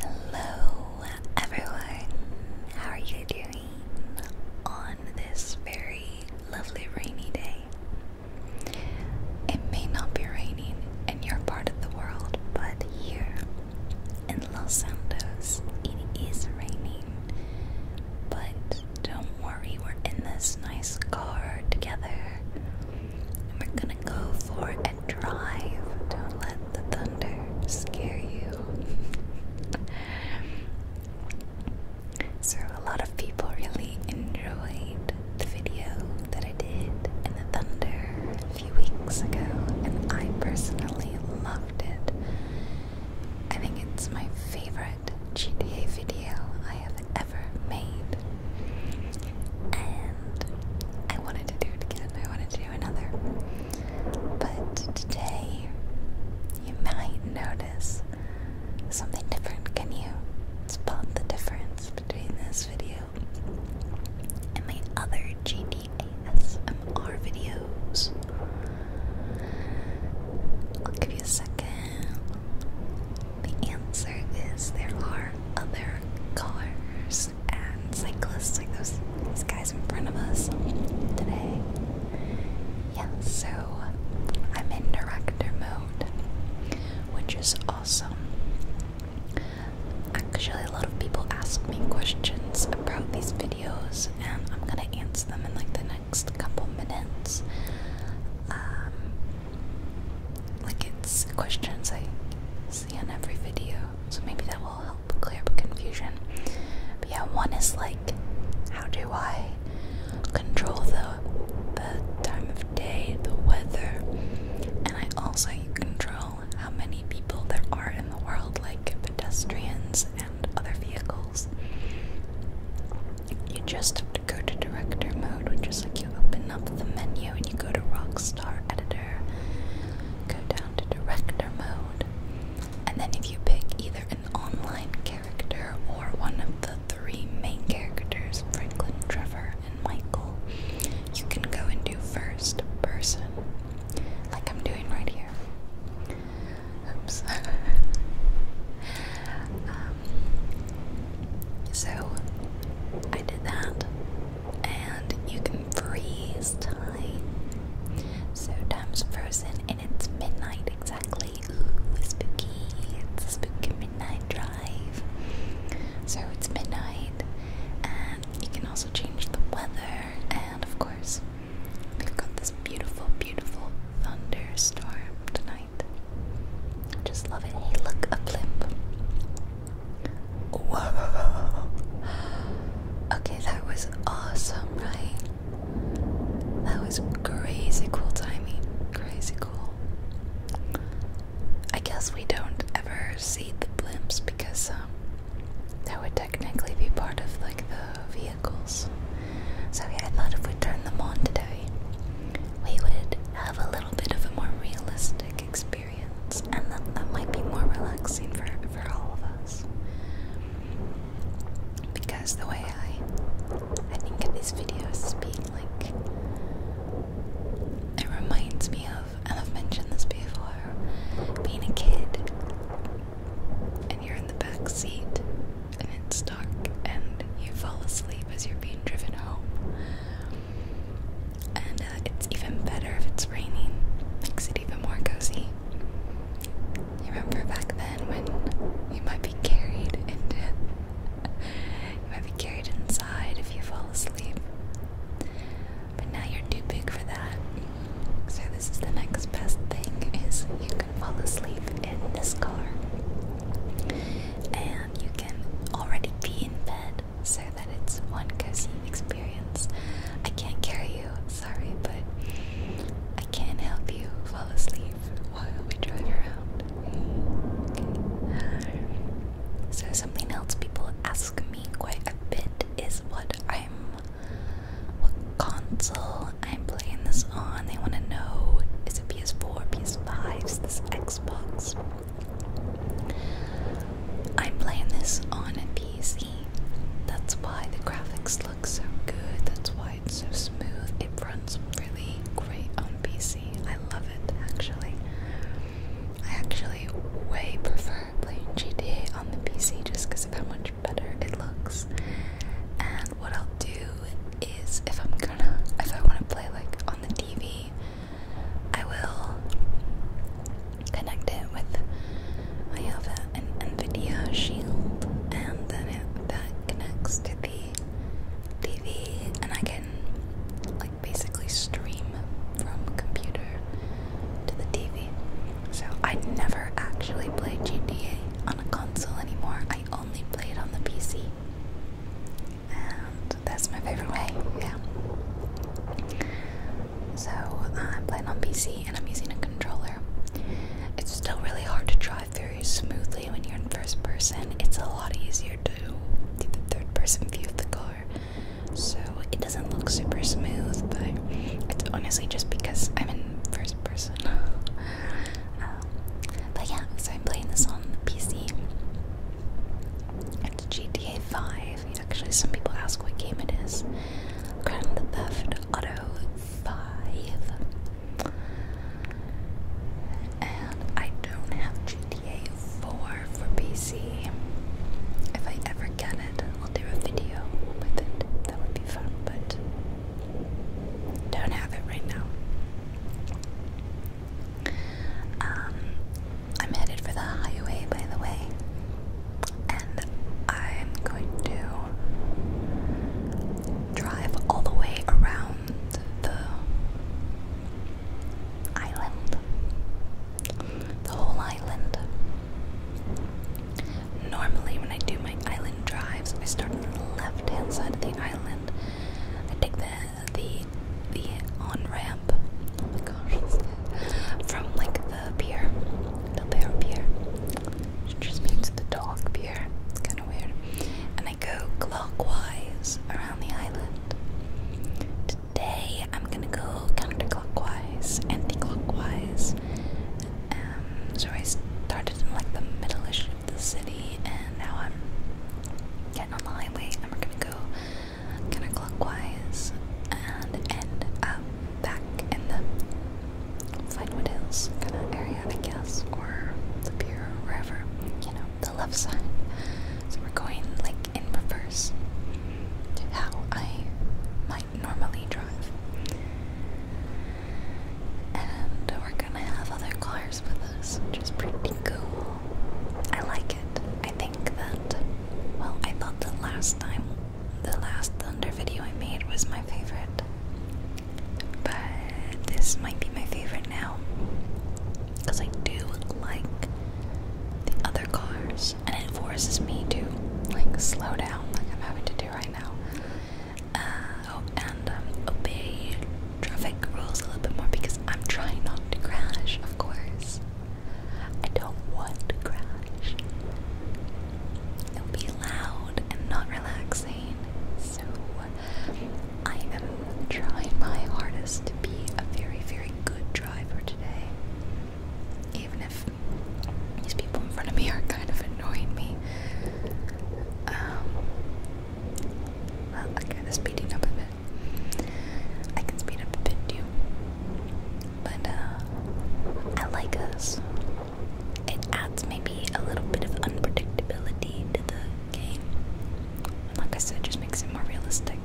Hello, everyone. How are you doing on this very lovely rainy day? It may not be raining in your part of the world, but here in Los Santos, it is raining. But don't worry, we're in this nice car together. we're gonna go for drive. Don't let the thunder scare you. so, a lot of people really enjoyed the video that I did in the thunder a few weeks ago, and I personally loved it. I think it's my favorite GTA video I have ever made and I wanted to do it again. I wanted to do another. But today, you might notice something different. Can you spot the difference between this video and my other GDASMR videos? I'll give you a second. The answer is there are other cars and cyclists like those these guys in front of us today. Yeah, so I'm in director mode, which is awesome. Actually, a lot of people ask me questions about these videos, and I'm gonna answer them in like the next couple minutes. Um, like, it's questions I on every video, so maybe that will help clear up confusion. But yeah, one is like, how do I control the the time of day, the weather, and I also control how many people there are in the world, like pedestrians and other vehicles. You just have to go to director mode, which is like you open up the menu and you go to rocks star editor, go down to director mode, and then if you pick either an online character or one of the three main characters Franklin, Trevor, and Michael you can go and do first person, like I'm doing right here. Oops. Um, so I did that and you can freeze time. So time's frozen and it's midnight exactly. Ooh, spooky. It's a spooky midnight drive. So it's midnight and you can also change the weather and of course we've got this beautiful, beautiful thunderstorm tonight. just love it. Hey look, a blimp. Okay, that was awesome, right? That was crazy cool timing. Crazy cool. I guess we don't ever see the blimps because um, that would technically be part of like the vehicles. So yeah, I thought if we turned them on today, we would have a little bit of a more realistic experience and that, that might be more relaxing for, for all of us. Because the way I, I think of these videos as being like, it reminds me of, and I've mentioned this before, being a kid, and you're in the back seat, and it's dark, and you fall asleep as you're being driven home. And uh, it's even better if it's raining. Makes it even more cozy. You remember back then when you might be carried you might be carried inside if you fall asleep. But now you're too big for that. So this is the next best thing is you can fall asleep in this car. And you can already be in bed so that it's one cozy experience. I can't carry you, sorry, but I can help you fall asleep while we drive around. So something else people ask me quite a bit is what I'm, what console I'm playing this on. They want to know is it PS4, PS5, is this Xbox? I'm playing this on a PC. That's why the graphics look so good. That's why it's so smooth. It runs really great on PC. I love it actually. I actually way prefer playing GTA on the PC just because of how much better it looks. And what I'll do is if I'm gonna, if I want to play like on the TV, I will connect it with. I have an NVIDIA Shield, and then it, that connects to the TV, and I can like basically stream from computer to the TV. So I never actually play GTA on a console anymore. I only play it on the PC that's my favorite way, yeah. So uh, I'm playing on PC and I'm using a controller. It's still really hard to drive very smoothly when you're in first person. It's a lot easier to do the third person view of the car. So it doesn't look super smooth, but it's honestly just because I'm in first person. Um, but yeah, so I'm playing this on the PC. It's GTA 5. Actually, some people ask what game it is. Grand Theft Auto 5. And I don't have GTA 4 for PC. If I ever get it, I'll do a video with it. That would be fun, but don't have it right now. Um, I'm headed for the highway, by the way, and I'm going to drive all the way around the island, the whole island. Normally, when I do my island drives, I start on the left hand side of the island. I take the the the on ramp. Oh from like the pier, the bear pier. just means the dog pier. It's kind of weird. And I go clockwise around the island. Today I'm gonna go counterclockwise, anti-clockwise. Um, so I started in like the middle-ish of the city, and now I'm getting on the highway, and we're gonna go clockwise, and end up back in the Flywood Hills kind of area, I guess, or the pier, or wherever, you know, the left side. So we're going like in reverse to how I might normally drive. And we're gonna have other cars with us, which is pretty cool. I like it. I think that, well, I thought the last time, the last Thunder video I made was my favorite. But this might be my favorite now. Because I do like the other cars. And it forces me to, like, slow down, like I'm having to do right now. Uh, oh, and um, obey traffic rules a little bit more because I'm trying not to crash, of course. I don't want to crash. It'll be loud and not relaxing, so I am trying my hardest to be a very, very good driver today. Even if these people in front of me are kind of annoying me. Um, well, I kind speeding up a bit. I can speed up a bit too. But uh, I like us. It adds maybe a little bit of unpredictability to the game. And like I said, just makes it more realistic.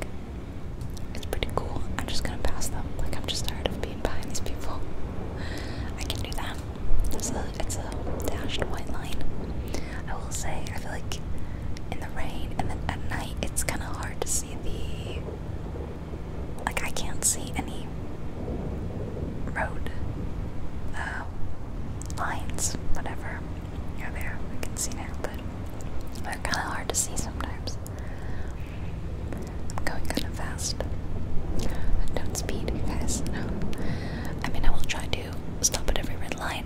It's pretty cool. I'm just gonna pass them. Like I'm just tired of being behind these people. I can do that. It's a it's a dashed white line. I will say, I feel like in the rain and then at night it's kind of hard to see the. Like, I can't see any road uh, lines, whatever. You're there, I can see now, but they're kind of hard to see sometimes. I'm going kind of fast. Don't speed, guys. No. I mean, I will try to stop at every red line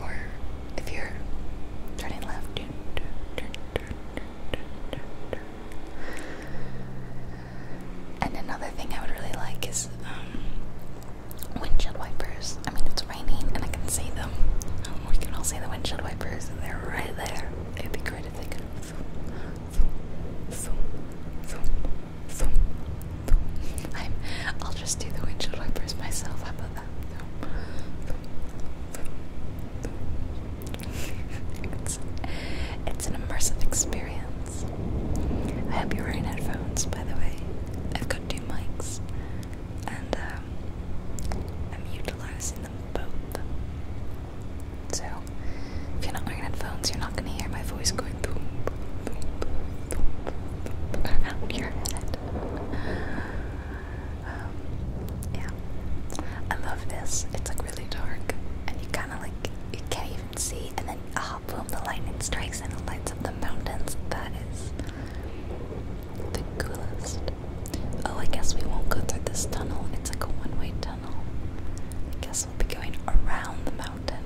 Or if you're turning left, and another thing I would really like is um, windshield wipers. I mean, it's raining and I can see them. Um, we can all see the windshield wipers, and they're right there. It'd be great if they could. Zoom, i will just do the windshield wipers myself. How about that? it's, an immersive experience. I hope you're wearing headphones, by the way. I've got two mics, and um, I'm utilizing them both. So, if you're not wearing headphones, you're not not gonna hear my voice going boom, boom, boom, boom, boom around your head. Um, yeah, I love this. It's like really dark, and you kind of like you can't even see, and then ah, oh, boom, the lightning strikes and it lights up the mountains. That is the coolest. Oh, I guess we won't go through this tunnel. It's like a one-way tunnel. I guess we'll be going around the mountain.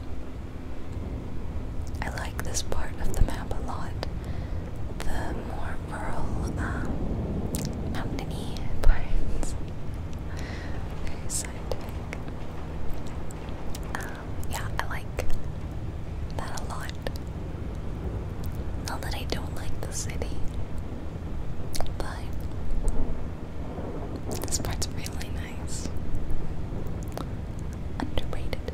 I like this part of the map a lot. The more rural, um, mountainy parts. Um, yeah, I like that a lot. Not that I don't like the city, but this part's really nice underrated.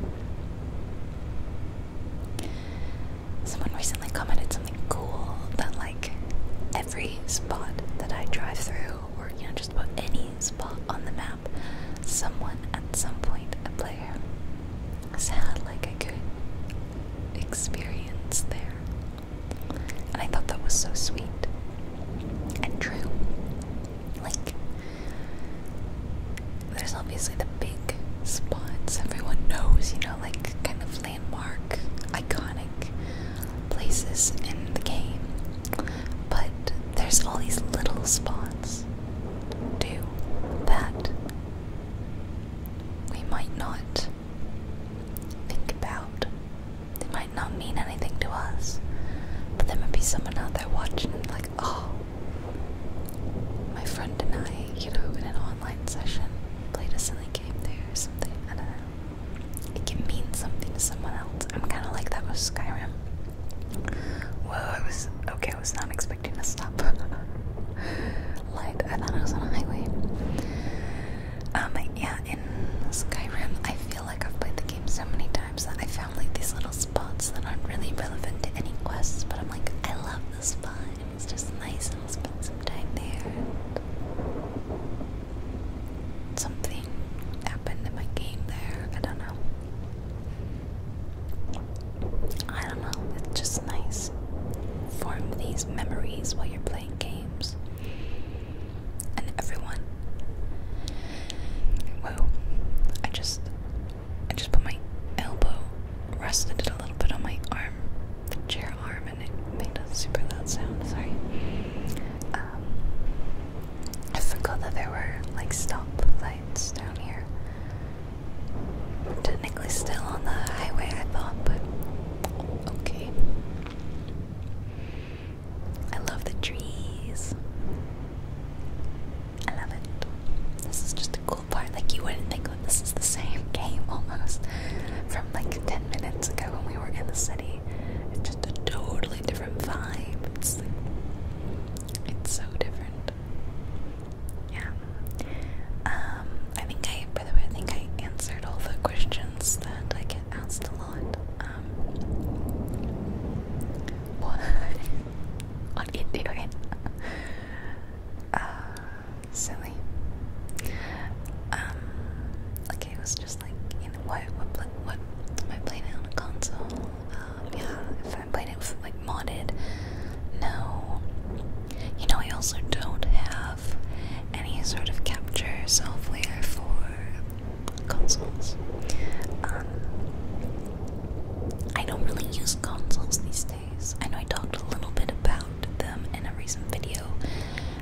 Someone recently commented something cool that, like, every spot that I drive through, or you know, just about any spot on the map, someone at some point, a player, had like a good experience there. And I thought that was so sweet and true. Like, there's obviously the big spots everyone knows, you know, like kind of landmark, iconic places in the game. But there's all these little spots, do that we might not think about not mean anything to us, but there might be someone out there watching, like, oh, my friend and I, you know, in an online session, played a silly game there or something. I It can mean something to someone else. I'm kind of like that with Skyrim. Whoa, I was okay. I was not expecting to stop Like, I thought I was on a highway. Um, yeah, in Skyrim, I like I've played the game so many times I found like these little spots that aren't really relevant to any quests, but I'm like, I love this spot. It's just nice and I'll spend some time there. something happened in my game there. I don't know. I don't know, it's just nice. Form these memories while you're playing games and everyone. Whoa. I just I just put my elbow rested a little bit on my arm, the chair arm, and it made a super loud sound, sorry. Um I forgot that there were like stop lights down here. Technically still on the highway I thought, but okay. I love the trees. I love it. This is just the cool part. Like you wouldn't think that this is the same game almost from like ten minutes ago when we were in the city. It's just a totally different vibe. It's like it's so different. Yeah. Um, I think I by the way I think I answered all the questions that I get asked a lot um, on Indian. Uh, silly. Um, okay, it was just like, you what, what, what am I playing it on a console? Um, yeah, if I'm it like, modded, no. You know, I also don't have any sort of capture software for consoles. Um, I don't really use consoles these days. I know I talked a little bit about them in a recent video,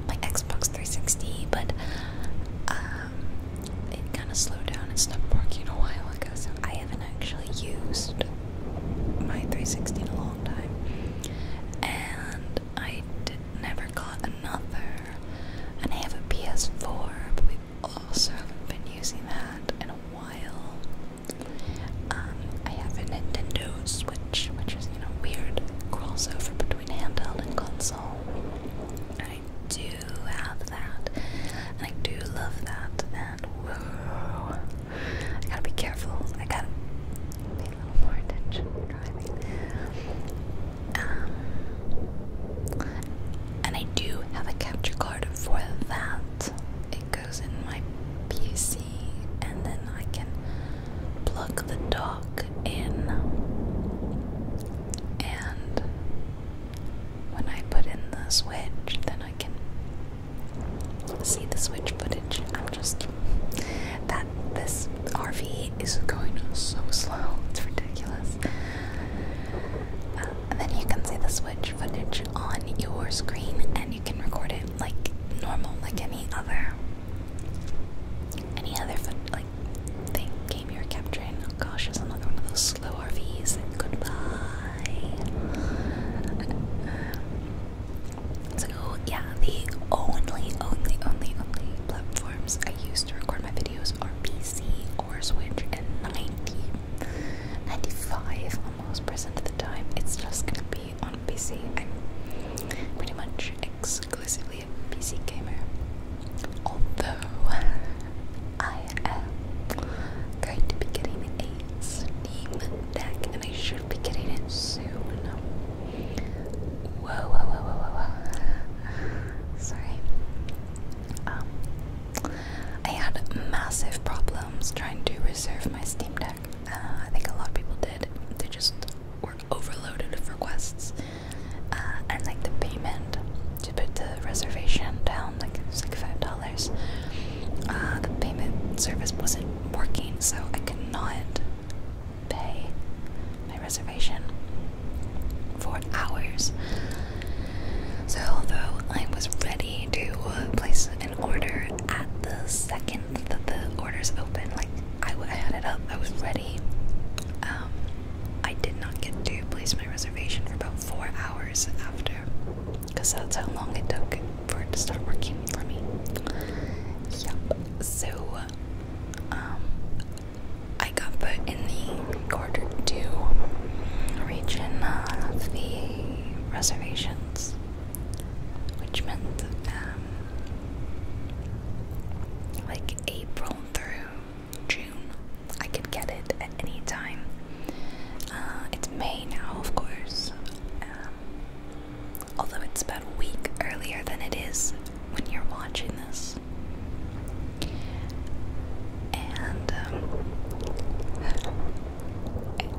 my Xbox 360, but um, it kind of slowed down and stopped working a while ago, so I haven't actually used my 360 in a long time. And I never got another, and I have a PS4, but we also haven't been using that in a while. Um, I have a Nintendo Switch, which is, you know, weird crossover between handheld and console. I do have that, and I do love that, and whoa, I gotta be careful. I gotta pay a little more attention driving. Um, and I do have a capture card for that. It goes in my PC, and then I can plug the dock in. And when I put in the switch, then I can see the switch footage. I'm just that this RV is going so slow. It's ridiculous and then you can see the switch footage on your screen and you can record it like normal, like any other any other foot like thing game you're capturing. Oh gosh, there's another one of those slow RVs. Goodbye. So yeah, the only, only, only, only platforms I use to record my videos Windows or PC or Switch, and 90, 95 almost percent of the time it's just gonna be on PC. I'm pretty much exclusively a PC gamer, although I am going to be getting a Steam Deck, and I should be getting it soon. whoa, whoa, whoa, whoa, whoa. Sorry. Um, I had massive problems trying to reserve my Steam Deck. Uh, I think a lot of people did. They just were overloaded with requests, uh, and like the payment to put the reservation down, like it like five dollars. Uh, the payment service wasn't working, so I could not pay my reservation for hours. So, although I was ready to place an order at the second that the orders open, like I, I had it up, I was ready. Um, I did not get to place my reservation for about four hours after, because that's how long it took for it to start working for me. Yep. So, um, I got put in the quarter two region of the reservations, which meant um, like April through June, I could get it at any time. Uh, it's May now, of course, um, although it's about a week earlier than it is when you're watching this. And um,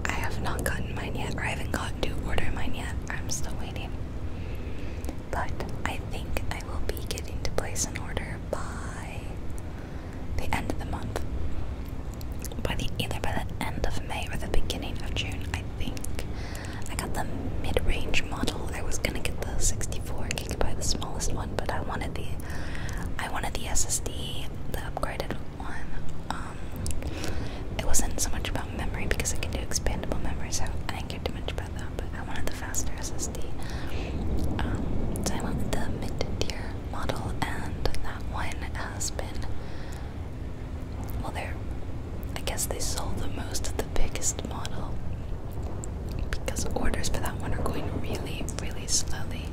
I have not gotten mine yet, or I haven't gotten to order mine yet. I'm still waiting. But I think I will be getting to place an order by the end of the month. By the either by the end of May or the beginning of June, I think. I got the mid-range model. I was gonna get the 64 I could buy the smallest one, but I wanted the I wanted the SSD, the upgraded one. Um, it wasn't so much about memory because I could do expandable memory, so I didn't care too much about that. But I wanted the faster SSD, um, so I wanted the mid-tier model, and that one has been well. They're I guess they sold the most of the biggest model because orders for that one are going really, really slowly.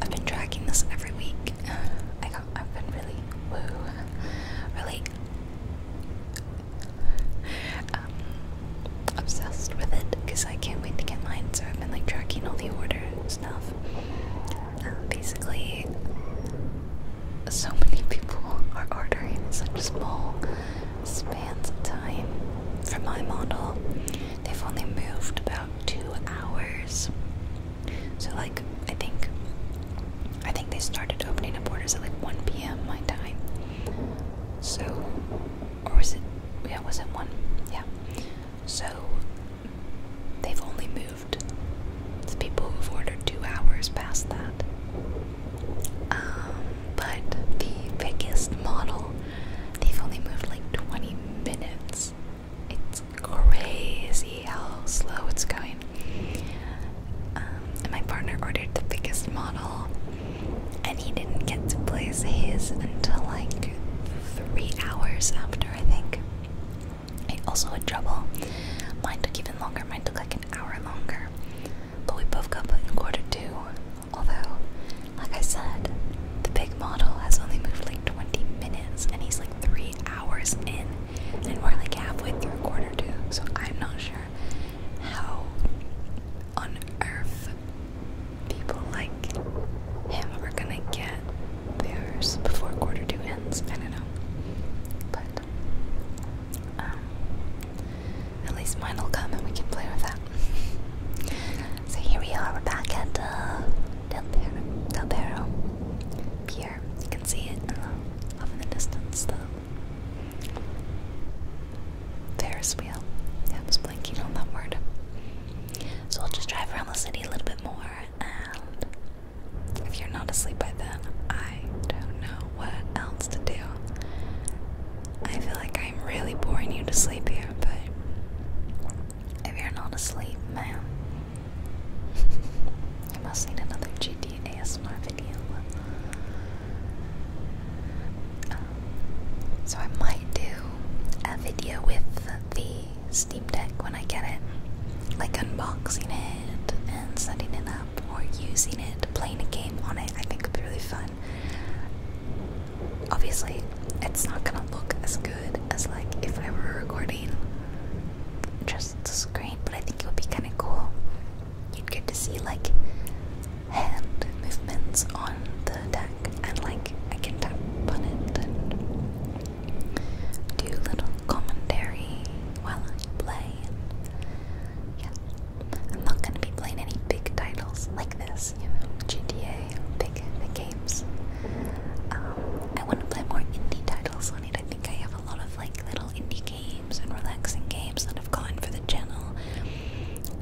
I've been tracking this every week. I have been really, really um, obsessed with it because I can't wait to get mine. So I've been like tracking all the order stuff. Um, basically, so many people are ordering such small spans of time. For my model, they've only moved about two hours. So like I think I think they started opening up orders at like 1 p.m. my time. So or was it yeah, was it one? Yeah. So they've only moved the people who've ordered two hours past that. Um, but the biggest model, they've only moved like 20 minutes. It's crazy how slow it's going. Um, and my partner ordered the biggest model, and he didn't get to place his until like three hours after, I think. I also had trouble. Mine took even longer. Mine took like an hour longer. But we both got put in quarter two Although, like I said, the big model has only moved like 20 minutes and he's like three hours in, and we're like halfway through quarter two, so I'm not sure how on earth people like him are gonna get theirs before quarter two ends. I don't know. But um, at least mine will come and we can play with that. so here we are, we're back at uh, Del, Perro, Pier. You can see it uh, off in the distance, the Ferris wheel. I was blanking on that word. So we'll just drive around the city a little bit more, and if you're not asleep by then, I don't know what else to do. I feel like I'm really boring you to sleep here, but if you're not asleep, man, you must need another GT ASMR video. Um, so I might do a video with the Steam Deck when I get it, like unboxing it and setting it up or using it, to playing a game on it. I think it'd be really fun. Obviously, it's not gonna look as good as like if I were recording just the screen, but I think it would be kind of cool. You'd get to see like hand movements on the deck, and like I can tap on it and do little commentary while I play. yeah, I'm not gonna be playing any big titles like this, you know, GTA, big, big games. Um, I want to play more indie titles on it. I think I have a lot of like little indie games and relaxing games that I've gotten for the channel,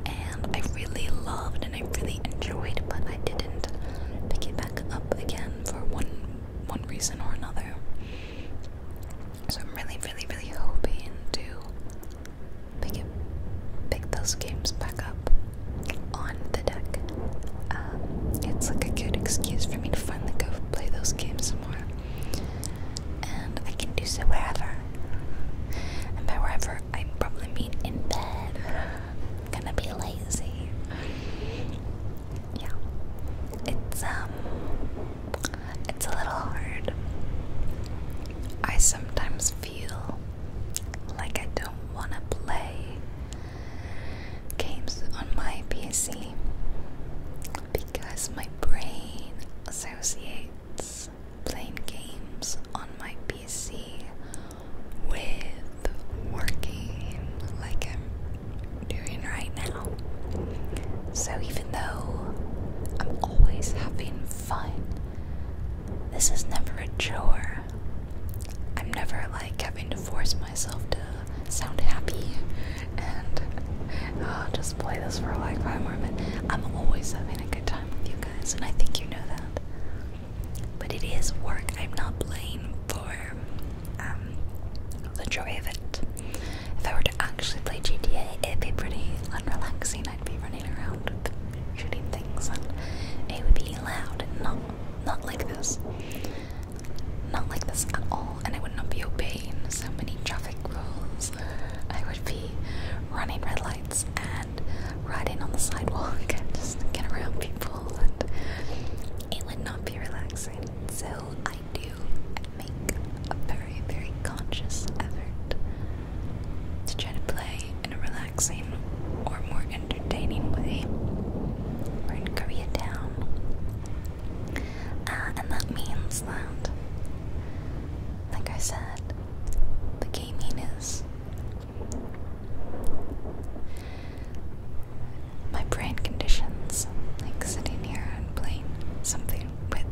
and I really loved and I really enjoyed, but I didn't pick it back up again for one one reason or another. So I'm really, really, really hoping to pick it, pick those games back up on the deck. Um, it's like a good excuse for me to finally go play those games some more, and I can do so wherever. And by wherever, I probably mean in bed. I'm gonna be lazy. Yeah, it's um. It's a little hard. I sometimes feel like I don't want to play games on my PC because my brain associates playing games on my PC with working like I'm doing right now. So even though I'm always having fun, this is never a chore. I'm never like having to force myself to sound happy and I'll uh, just play this for like five more minutes. I'm always having a good time with you guys, and I think you know that. But it is work. I'm not playing for um, the joy of it. If I were to actually play GTA, it'd be pretty unrelaxing. I'd be running around shooting things, and it would be loud not not like this, not like this at all. And I would not be obeying so many traffic rules. I would be running red lights and riding on the sidewalk and just get around people, and it would not be relaxing. So I do make a very, very conscious effort to try to play in a relaxing or more entertaining way. we in Koreatown. Uh, and that means that, like I said, the gaming is. My brain conditions like sitting here and playing something with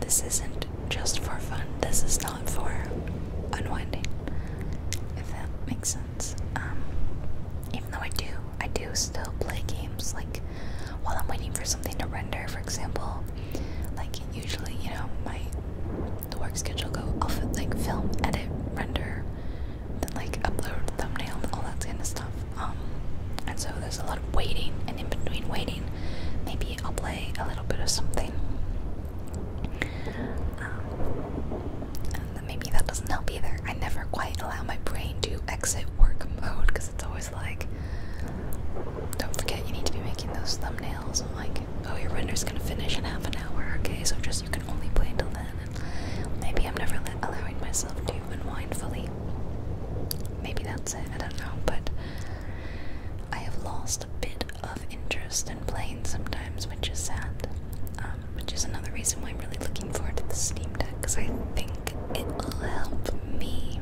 this isn't just for fun. This is not for unwinding. If that makes sense. Um, even though I do, I do still play games. Like while I'm waiting for something to render, for example. Like usually, you know, my the work schedule goes off like film, edit, render, then like upload thumbnail, all that kind of stuff. Um, and so there's a lot of waiting, and in between waiting, maybe I'll play a little bit of something. Um, and maybe that doesn't help either. I never quite allow my brain to exit work mode because it's always like, don't forget you need to be making those thumbnails. I'm like, oh, your render's gonna finish in half an hour. Okay, so just you can only play until then. maybe I'm never allowing myself to unwind fully. Maybe that's it, I don't know, but I have lost a bit of interest in playing sometimes, which is sad. Um, which is another reason why I'm really looking forward to the Steam Deck, because I think it will help me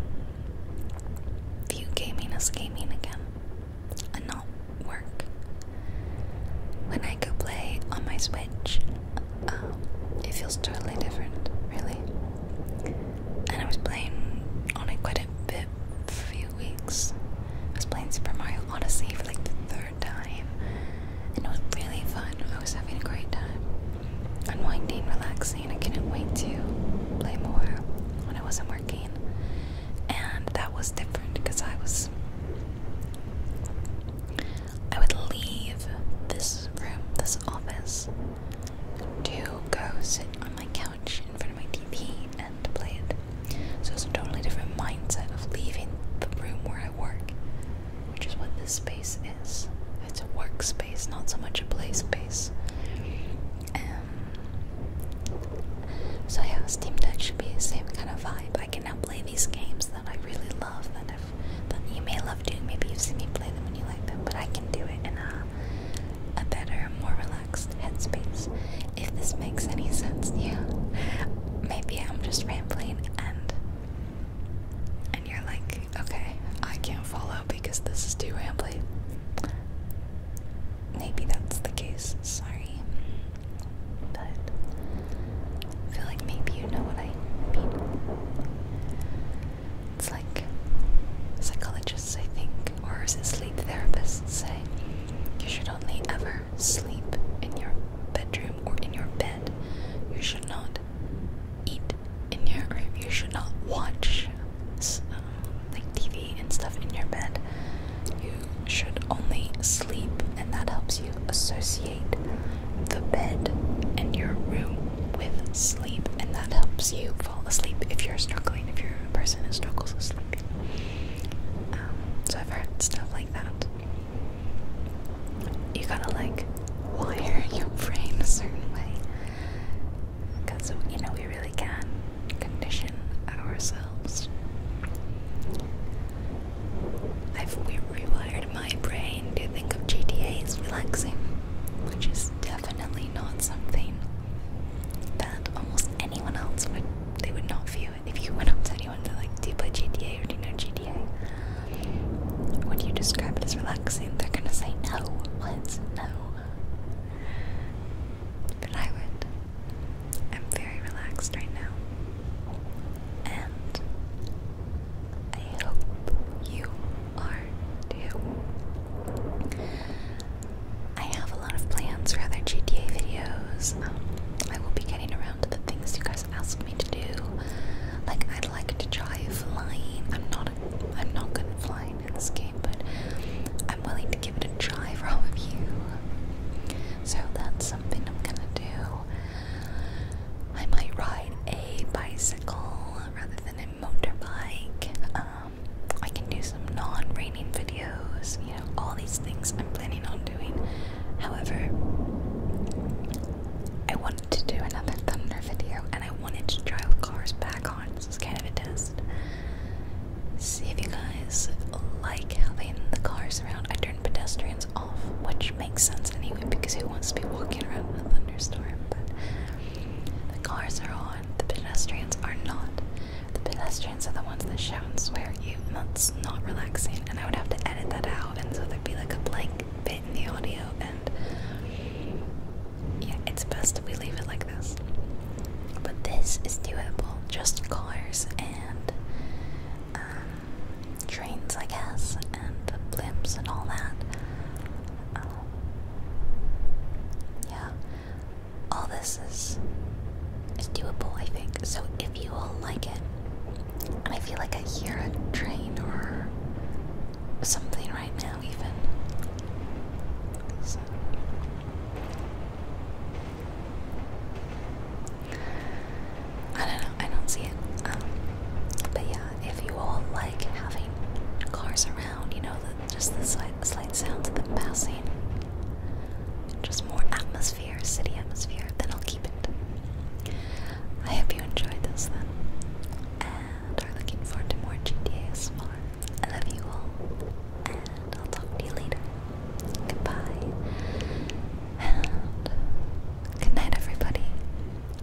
view gaming as gaming again and not work. When I go play on my Switch, uh, it feels totally different, really and I was playing on it quite a bit for a few weeks. I was playing Super Mario Odyssey for like the third time, and it was really fun. I was having a great time, unwinding, relaxing. I couldn't wait to play more when I wasn't working, and that was different because I was. I would leave this room, the office to go sit on my couch in front of my TV and play it. So it's a totally different mindset of leaving the room where I work, which is what this space is. It's a workspace, not so much a play space. Um, so yeah, Steam Deck should be the same kind of vibe. I can now play these games that I really love, that, I've, that you may love doing. Maybe you've seen me play them and you like them, but I can do it in a a better, more relaxed headspace. If this makes any sense to you, maybe I'm just rambling and and you're like, okay, I can't follow because this is too rambling. Maybe that's the case. Sorry, but feel like maybe you know what I mean. It's like psychologists, I think, or is it sleep therapists say you should only ever sleep in your bedroom or in your bed. You should not eat in your room. You should not watch um, like TV and stuff in your bed. You should only sleep, and that helps you associate the bed and your room with sleep, and that helps you fall asleep if you're struggling, if you're a person who struggles with sleep. Um, so I've heard stuff like that. You gotta like wire your brain a certain way. Because, you know, we really can condition ourselves. I've rewired my brain to think of GTA as relaxing, which is definitely not something that almost anyone else would they would not view it. If you went up to anyone and like, do you play GTA or do you know GTA? Would you describe it as relaxing? They're gonna say no. What? No. But I would. I'm very relaxed right now. And I hope you I have a lot of plans for other GTA videos. Um, I will be getting around to the things you guys asked me to do. Like I'd like to try flying. I'm not a, I'm not good at flying in this game, but I'm willing to give it a try for all of you. So that's something I'm gonna do. I might ride a bicycle rather than a motorbike. Um, I can do some non-raining videos. You know, all these things I'm planning on doing. However, I wanted to do another thunder video, and I wanted to drive cars back on. This is kind of a test. See if you guys like having the cars around. I turned pedestrians off, which makes sense anyway because who wants to be walking around in a thunderstorm? But the cars are on, the pedestrians are not. The pedestrians are the ones that shout and swear at you, and that's not relaxing. And I would have to edit that out, and so there'd be like a blank bit in the audio. And yeah, it's best if we leave it like this. But this is doable. Just cars and um, trains, I guess, and the blimps and all that. Oh. yeah, all this is is doable, I think. So if you all like it, and I feel like I hear a train or something right now, even. I don't know. I don't see it. Um, but yeah, if you all like having cars around, you know, just the slight, slight sounds of them passing, just more atmosphere, city atmosphere, then I'll keep it. I hope you enjoyed this then, and are looking forward to more GTA SMR. I love you all, and I'll talk to you later. Goodbye, and good night, everybody.